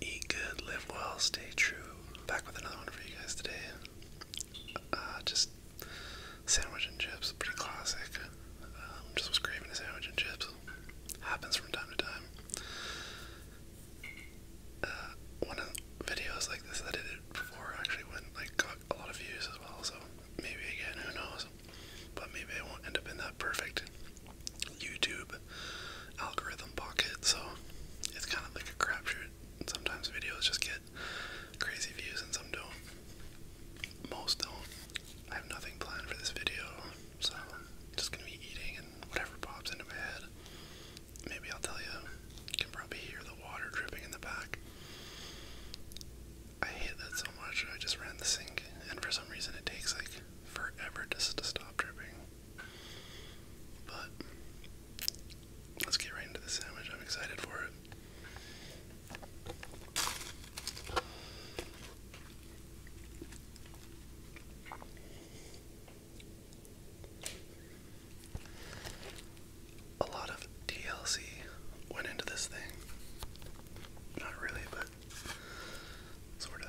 Eat good, live well, stay true. Back with another one for you guys today. Uh, just sandwich and chips, pretty classic. Um, just was craving a sandwich and chips. Happens from time to time. Uh, one of videos like this that I did before actually went like a lot of views as well. So maybe again, who knows? But maybe I won't end up in that perfect YouTube algorithm pocket. So it's kind of like a crapshoot. Sometimes videos just get crazy views and some don't. Most don't. I have nothing planned for this video. So just gonna be eating and whatever pops into my head. Maybe I'll tell You can probably hear the water dripping in the back. I hate that so much. I just ran the sink, and for some reason it takes like forever just to stop dripping. But let's get right into the sandwich. I'm excited for it. A lot of DLC went into this thing. Not really, but sort of.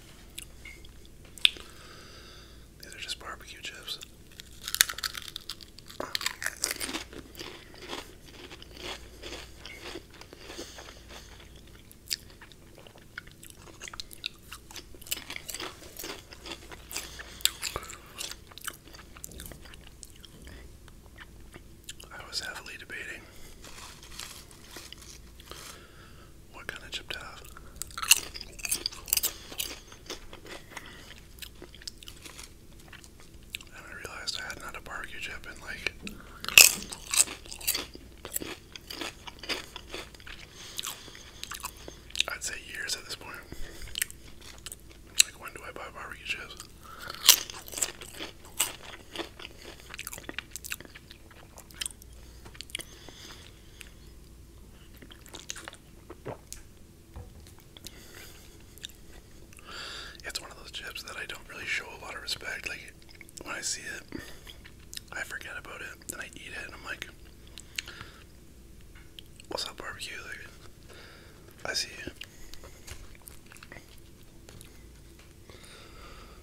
These are just barbecue chips. I was heavily debating what kind of chip to have? And I realized I hadn't a barbecue chip in like I'd say years at this point. Like when do I buy barbecue chips? It's one of those chips that I don't really show a lot of respect. Like, when I see it, I forget about it. Then I eat it and I'm like, what's up, barbecue? I see you.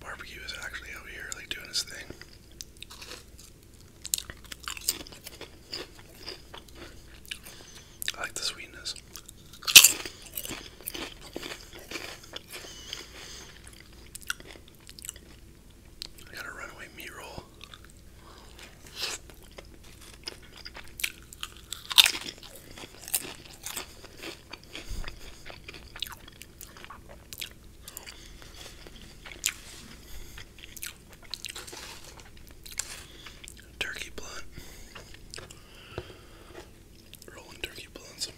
Barbecue is actually out here, like doing his thing. I like the sweetness. I got a runaway meat roll. Turkey blunt. Rolling turkey blunts.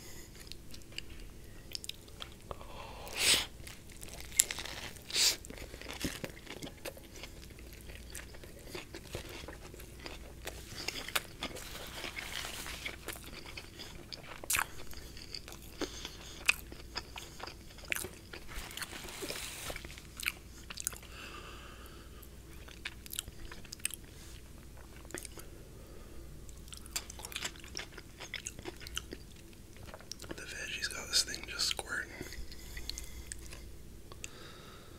The veggies got this thing just squirting.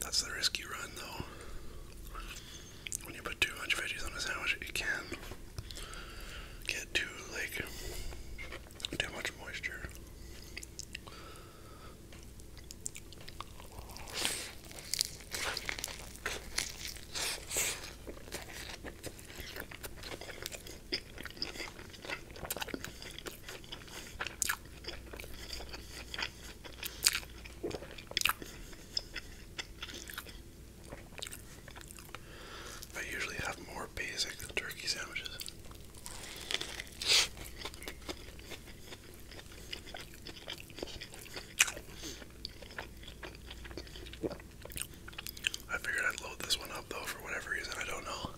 That's the risk you run, though. When you put too much veggies on a sandwich, it can get too like too much moisture. I usually have more basic turkey sandwiches. I figured I'd load this one up though for whatever reason, I don't know.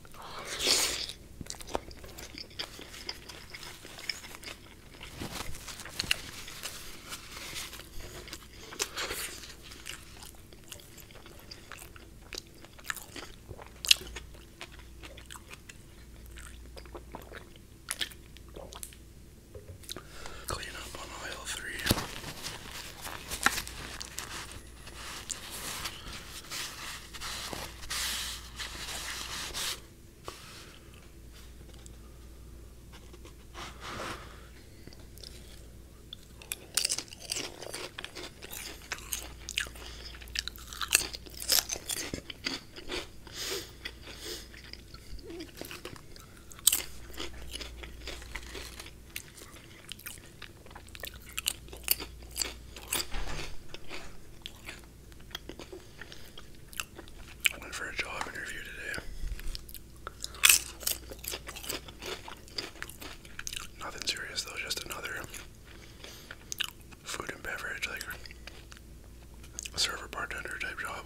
Clean up on aisle three. Went for a job interview today. Nothing serious though, just another food and beverage like server bartender type job.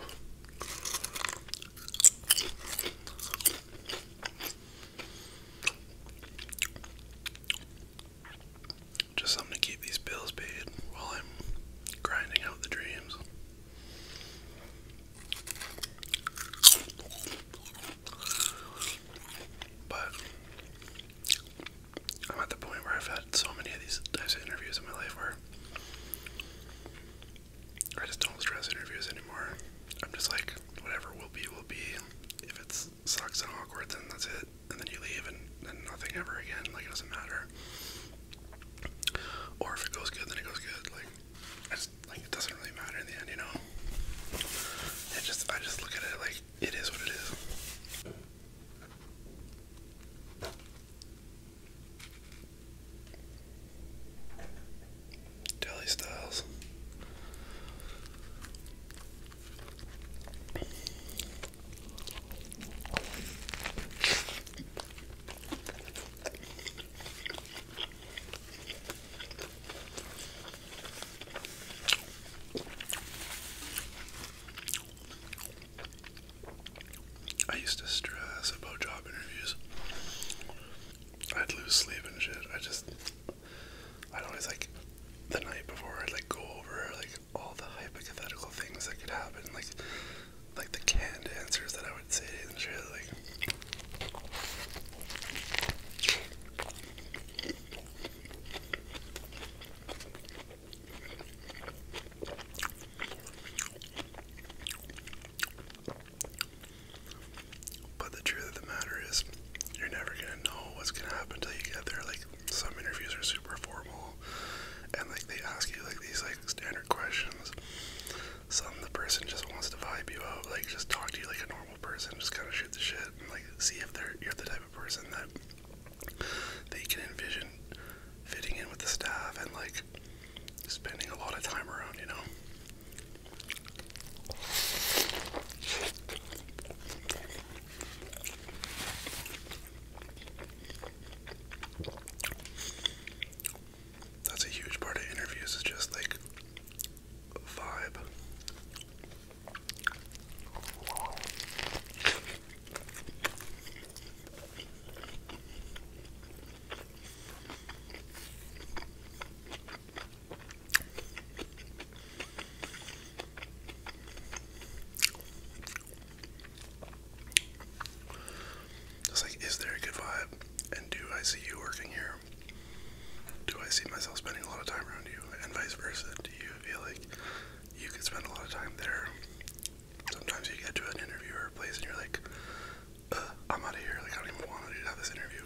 Just something to keep these bills paid while I'm grinding out the dreams. But I'm at the point where I've had so many of these types of interviews in my life where I just don't stress interviews anymore. I'm just like, whatever will be, will be. If it sucks and awkward, then that's it. And then you leave and then nothing ever again. Like, it doesn't matter. Or if it goes good, then it goes good. Like, it doesn't really matter in the end, you know? It just, I just look at it like, it is what it is. Dolly Styles. I used to stress about job interviews. I'd lose sleep and shit. I just, I'd always like, the night before, I'd like go over like all the hypothetical things that could happen, like, like the canned answers that I would say and shit. Like, but the truth of the matter is, you're never gonna know what's gonna happen until you get there. Like some interviews are super formal, and like they ask you like these like standard questions. Some the person just wants to vibe you out, like just talk to you like a normal person, just kind of shoot the shit and like see if they're you're the type of person that they can envision fitting in with the staff and like spending a lot of time around, you know. That's a huge part of interviews, is just like vibe. It's like, is there a good vibe? And do I see you working here? Do I see myself spending a lot of time around you? And vice versa. Do you feel like you could spend a lot of time there? Sometimes you get to an interview place and you're like, uh, I'm out of here. Like, I don't even want to have this interview.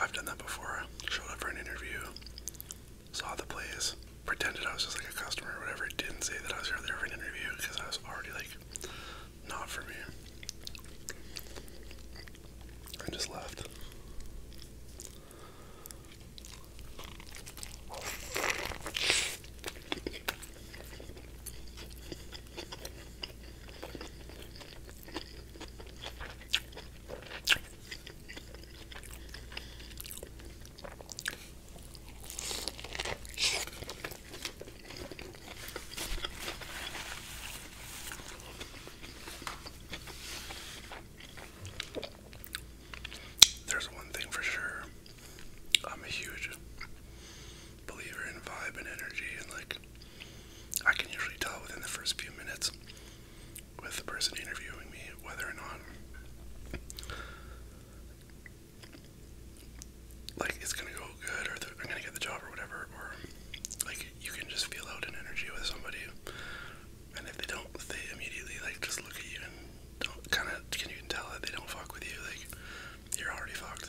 I've done that before. Showed up for an interview, saw the place, pretended I was just like a customer or whatever. Didn't say that I was there for an interview because I was already like not for me. I just left. There's one thing for sure. I'm a huge believer in vibe and energy, and like, I can usually tell within the first few minutes with the person interviewing me whether or not like it's gonna go good or I'm gonna get the job or whatever, or like you can just feel out an energy with somebody, and if they don't, they immediately like just look at you and don't kind of can you tell that they don't fuck with you, like you're already fucked.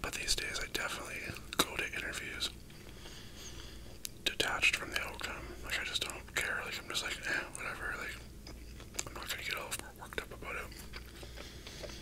But these days, I definitely go to interviews detached from the outcome. Like, I just don't care. Like, I'm just like, eh, whatever. Like, I'm not gonna get all worked up about it.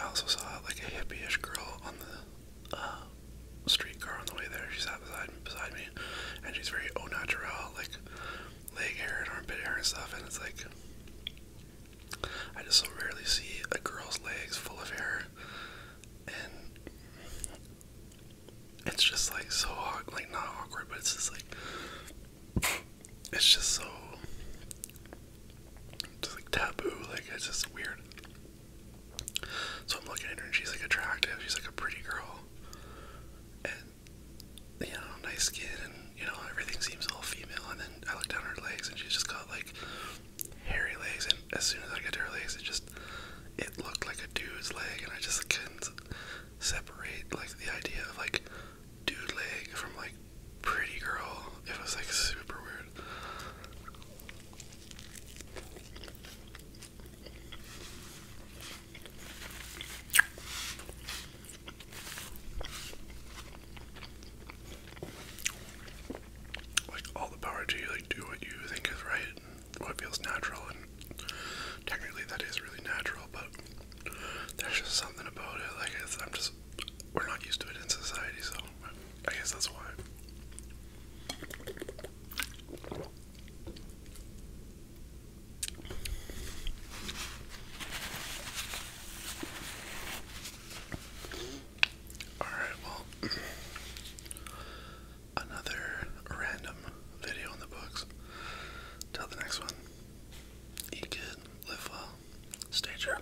I also saw like a hippie-ish girl on the uh, streetcar on the way there. She sat beside beside me, and she's very oh natural, like leg hair and armpit hair and stuff. And it's like I just so rarely see a girl's legs full of hair, and it's just like so like not awkward, but it's just like it's just so it's like taboo, like it's just weird. So I'm looking at her and she's like attractive, she's like a pretty girl. And you know, nice skin and you know, everything seems all female and then I look down her legs and she's just got like hairy legs and as soon as I get her legs it just it looked like a dude's leg and I just couldn't separate like the idea of like dude leg from like pretty girl. It was like super weird. Like all the power to like do what you think is right, what feels natural, and technically that is really natural, but there's just something about it. Like I'm just we're not used to it in society, so I guess that's why. Alright, well, another random video in the books. Till the next one, eat good, live well, stay true.